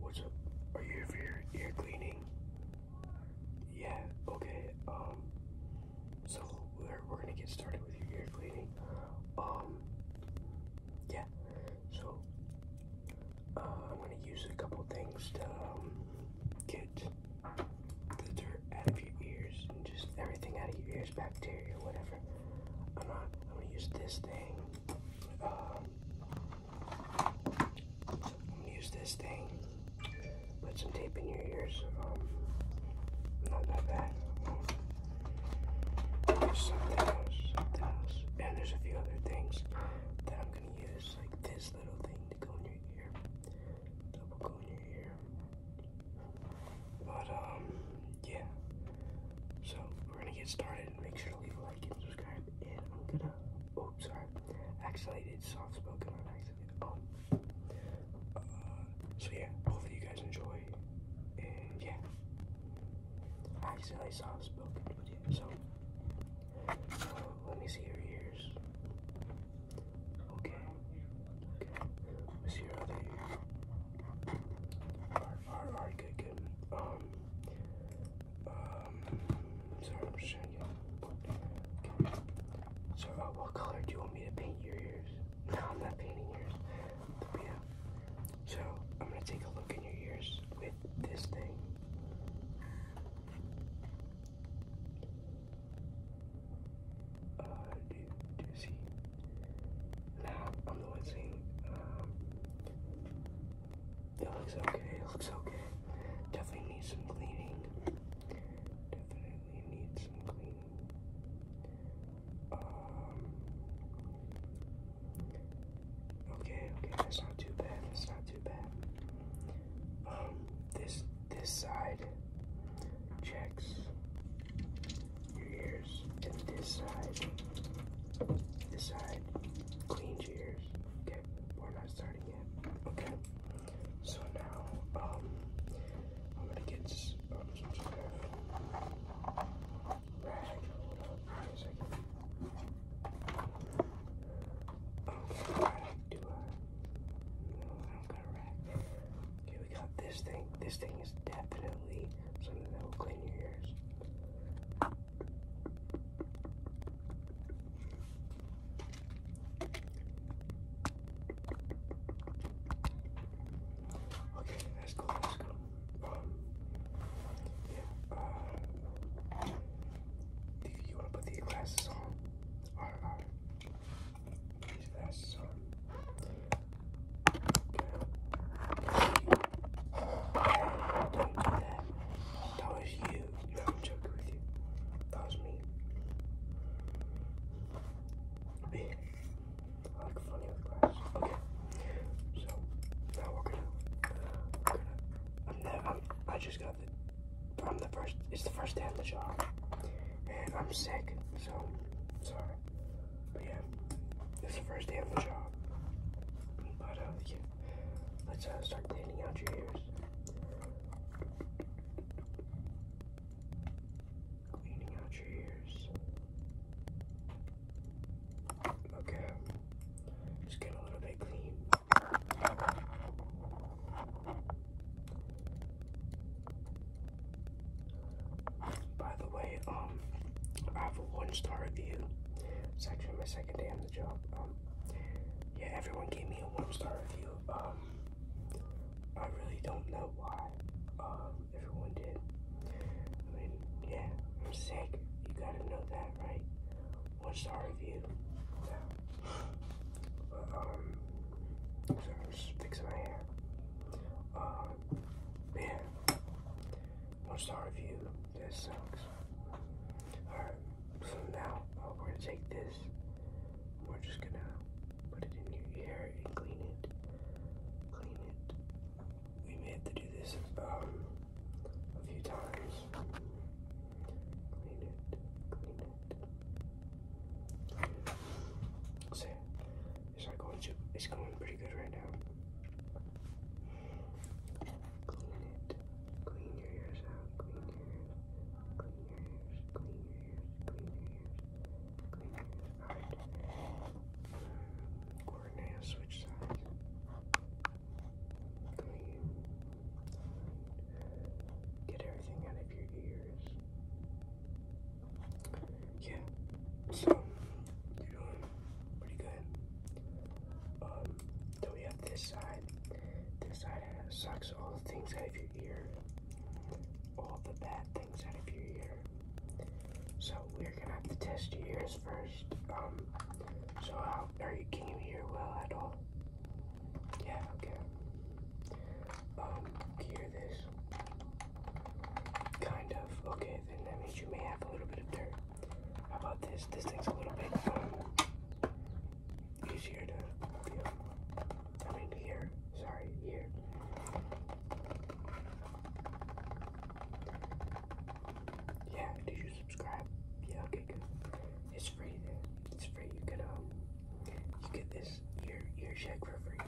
What's up? Are you here for your ear cleaning? Yeah, okay. Um so we're we're gonna get started with your ear cleaning. Um yeah. So uh, I'm gonna use a couple things to um, get the dirt out of your ears and just everything out of your ears, bacteria, whatever. I'm not I'm gonna use this thing. Um, Use this thing. Put some tape in your ears. Um, not that bad. something else, And there's a few other things that I'm gonna use, like this little thing to go in your ear. That go in your ear. But um yeah. So we're gonna get started and make sure to leave a like and subscribe, and I'm gonna. Oops, oh, sorry. Actually, I did soft spoken on accident. Oh. Uh, so yeah, hopefully you guys enjoy, and yeah. I accidentally soft spoken, but yeah. So uh, let me see your ears. Okay. Okay. Let me see your other ear. Alright, alright, good, good. Um, um, sorry, I'm just trying to get. Okay. So, what color do you want me to paint your ears? No, I'm not painting ears. So, I'm gonna take a look in your ears with this thing. Uh, do, now I'm noticing um, uh, it looks okay, it looks okay. Definitely needs some cleaning. Definitely needs some cleaning. Um, okay, okay, that's not too bad, that's not too bad. Um, this this side checks your ears. And this side, this side, cleans your ears. Okay, we're not starting yet. Okay, so now, um, I'm gonna get um, some rag. Hold on, wait a second. do I? Uh, no, I do rag. Okay, we got this thing. This thing is definitely so that that'll clean your ears. Okay, that's cool, that's cool. Um, yeah, uh, do you want to put uh, these glasses on? Or, these glasses on? That was you. I'm joking with you. That was me. Yeah. I like funny with glass. Okay. So now we're gonna. We're gonna I'm, the, i just got the. I'm the first. It's the first day on the job, and I'm sick. So sorry. But yeah, it's the first day of the job. But uh, yeah, let's uh, start cleaning out your ears. Cleaning out your ears. Okay, just get a little bit clean. By the way, um, I have a one-star review. It's actually my second day on the job. Um, yeah, everyone gave me a one-star review. Um, I really don't know why. Um, everyone did. I mean, yeah, I'm sick. You gotta know that, right? One-star review. Yeah. But, um, so I'm just fixing my hair. Um, yeah. One star review. This sucks. Alright, so now uh, we're gonna take this. We're just gonna put it in your hair and clean it. Clean it. We may have to do this um, a few times. Clean it. Clean it. So, it's going to. It's going pretty good right now. Clean it. Clean your ears out. Clean your ears. Clean your ears. Clean your ears. Clean your ears. Clean your ears. All right. Um, coordinate. switch sides. Clean. Get everything out of your ears yeah, so you're doing pretty good. Um, then we have this side. This side sucks all the things out of your ear, all the bad things out of your ear. So we're gonna have to test your ears first. Um, so how are you? Can you well at all? Yeah. Okay. Um, hear this? Kind of. Okay and that means you may have a little bit of dirt. How about this? This thing's a little bit um, easier to feel. I mean, here. Sorry, here. Yeah, did you subscribe? Yeah, okay, good. It's free It's free. You can um you get this ear ear check for free.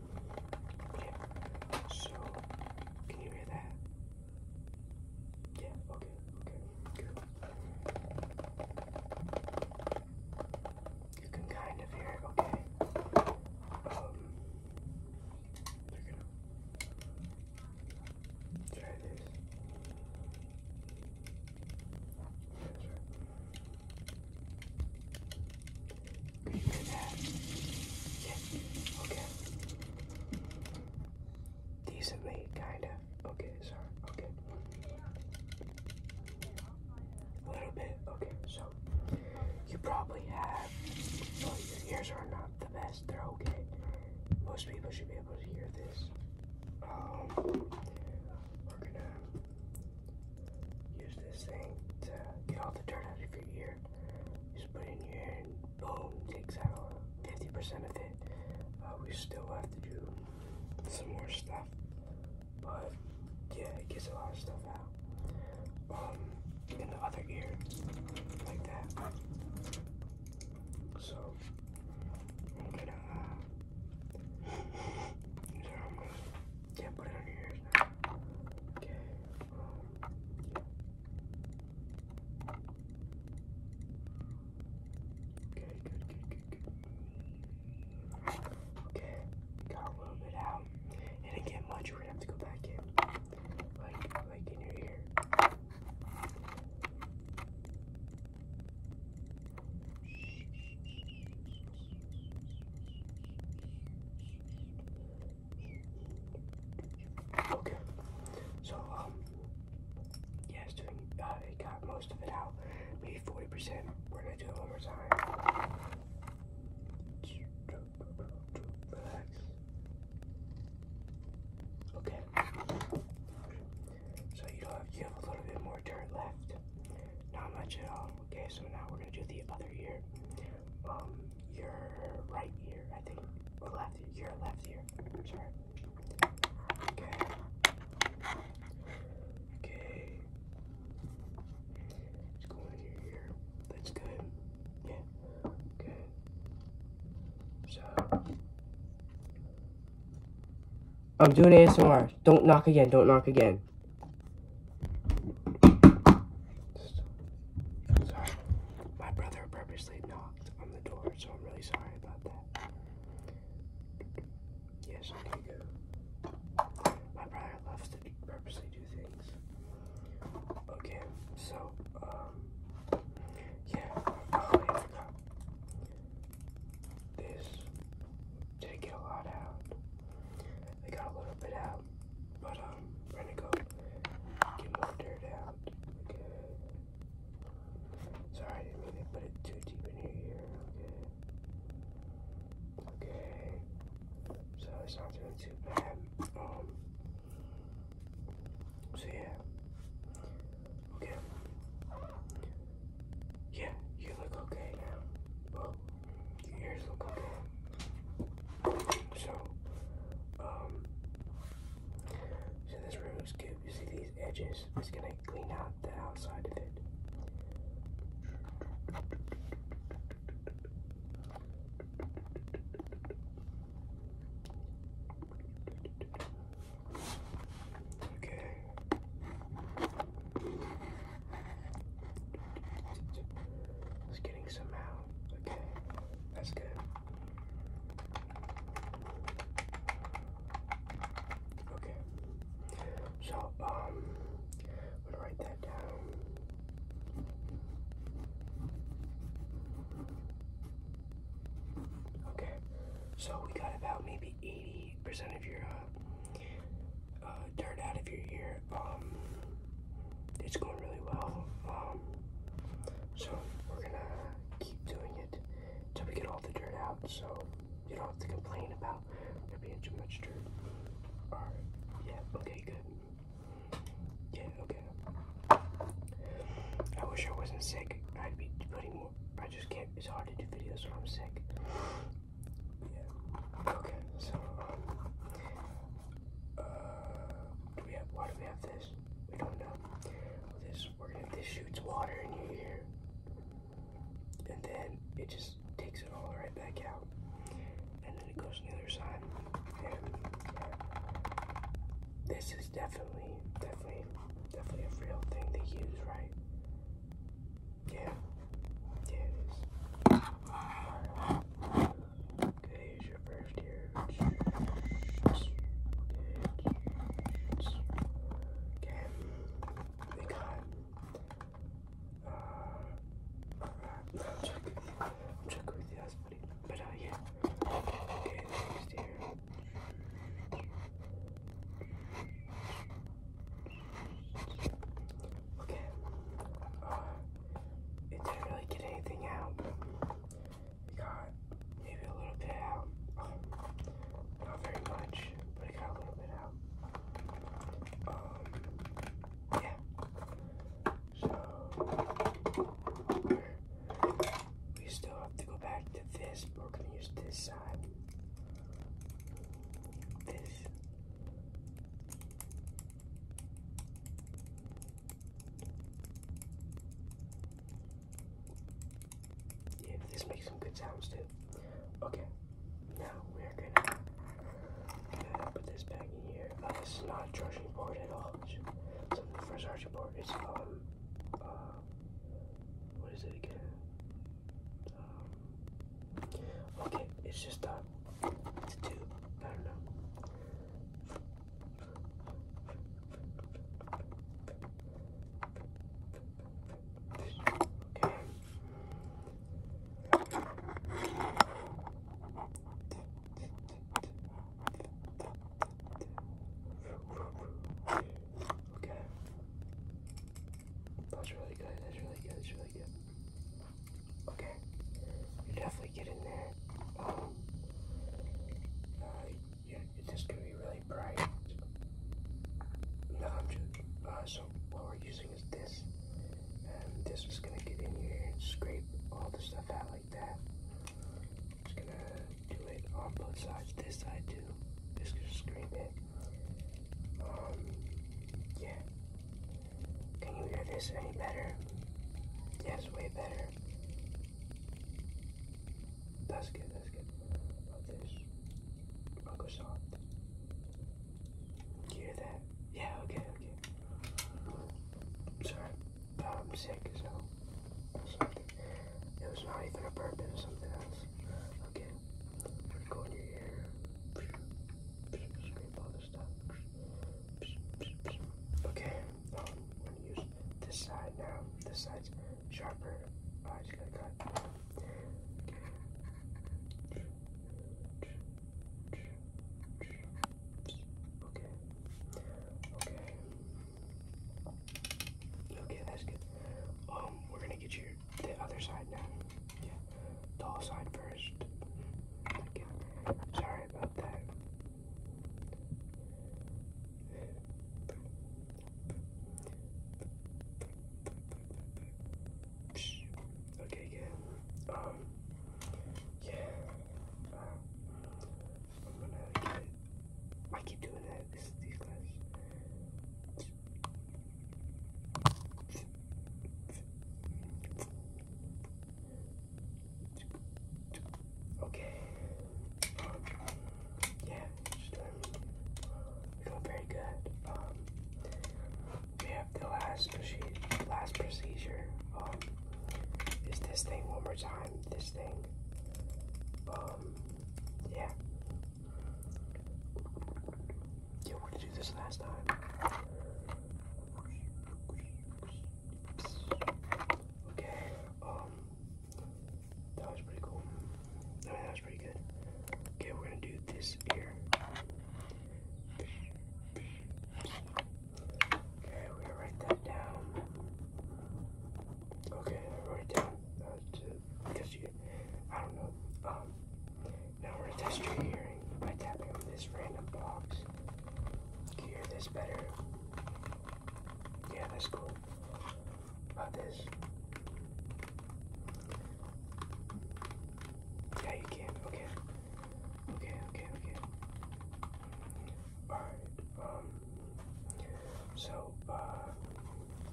Yeah. So, can you hear that? Yeah, okay, okay, good. You can kind of hear it, okay. Um, try this. Yeah, Good Yeah. Okay. Decently, kinda. Okay, sorry. Okay. A little bit. Okay, so you probably have. Well, your ears are not the best. They're okay. Most people should be able to hear this. Um, we're gonna Use this thing to get all the dirt out of your ear. just put it in your ear and boom, takes out 50% of it. Uh, we still have to do some more stuff, but yeah, it gets a lot of stuff out. Um, in the other ear, like that. so I'm gonna uh, Can't put it on your ears Okay. Okay, good, good, good, good. Okay, got a little bit out. It didn't get much, we're gonna have to go back in. Like, like in your ear. Okay, so um, doing. Uh, got most of it out, maybe forty percent. We're gonna do it one more time. Relax. Okay. So you have have a little bit more dirt left. Not much at all. Okay, so now we're gonna do the other ear. Um, your right ear, I think, left ear, your left ear. Sorry. Okay. Okay. It's going in your ear. That's good. Yeah. Okay. So. I'm doing ASMR. Don't knock again. Don't knock again. Sorry. My brother purposely knocked on the door, so I'm really sorry about that. Yes, I can go. My brother loves to purposely do things. Okay, so, um, yeah, oh, I forgot. This didn't get a lot out. I got a little bit out, but um, we're gonna go get more dirt out. Okay. Sorry, I didn't mean to put it too deep in your ear. Okay. Okay. So it's not doing too bad. Um. So yeah. Okay. Yeah, you look okay now. Well, your ears look okay. So, um, so this room is good. You see these edges? It's gonna clean out the outside of it. Okay. It's getting some out. Okay, that's good. Okay, so um, I'm gonna write that down. Okay, so we got about maybe 80 percent of your uh, uh, dirt out of your ear. Um, it's going really well. Um, so we're gonna keep doing it until we get all the dirt out. So you don't have to complain about there being too much dirt. Or yeah, okay, good. Yeah, okay. I wish I wasn't sick. I'd be putting more. I just can't. It's hard to do videos when I'm sick. Yeah. Okay, so uh do we have why do we have this? We don't know. This we're gonna this shoots water in your ear. And then it just takes it all right back out. And then it goes on the other side. And This is definitely, definitely, definitely a real thing they use, right? Yeah, yeah it is. Okay, here's your first ear. Okay, we got. check, with you, buddy. But uh, yeah. Okay, next ear. Okay. Uh, it didn't really get anything out. It got maybe a little bit out. not very much, but it got a little bit out. Um, yeah. So, we still have to go back to this, we're going to use this side. This yeah, this makes some good sounds too. Okay, now we're gonna, put this back in here. Uh, this is not a charging board at all. So the first charging board is um uh, what is it again? Um, okay, it's just a uh, I don't know. Okay. That's really good. That's really good. That's really good. Okay. You definitely get in there. Um, uh, yeah, this could be really bright. No, I'm joking. Uh, so what we're using is this. And this is going to get in here and scrape all the stuff out like that. Just going to do it on both sides. This side to this screen Um, yeah. Can you hear this any better? Yes, way better. That's good, that's good. About this. i soft. hear that? Yeah, okay, okay. Sorry, I'm um, sick, so. It was not even a burp, it something else. Okay. Go your ear. Scrape all this stuff. Okay. Um, I'm gonna use this side now. This side's sharper. Oh, I just gotta cut. Okay. Okay. Okay, that's good. Um, we're gonna get you the other side now. Yeah, tall side first. Okay. Sorry about that. Okay, good. Um, yeah. Uh, I'm gonna get. keep doing that. these glasses. Okay. yeah, she's um, very good. Um, we have the last last procedure. Um, is this thing one more time? This thing. Um, yeah. Yeah, we did do this last time. Okay, um, that was pretty cool. that was pretty good. Okay, we're gonna do this here. Okay, we're gonna write that down. Okay, I down. That's uh, because you, I don't know. Um, now we're gonna test your hearing by tapping on this random box. you hear this better? Yeah, that's cool. About this. Yeah, you can. Okay. Okay, okay, okay. Alright, um, so, uh,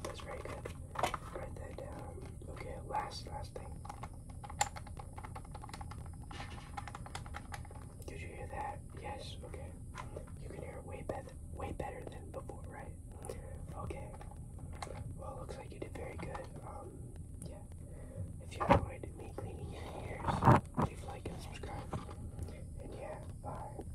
that's very good. Write that down. Okay, last, last thing. Did you hear that? Yes, okay. You can hear way better, way better than before, right? Okay. Well, looks like you did very good. Um, yeah. If you enjoyed me cleaning your ears, leave like and subscribe. And yeah, bye.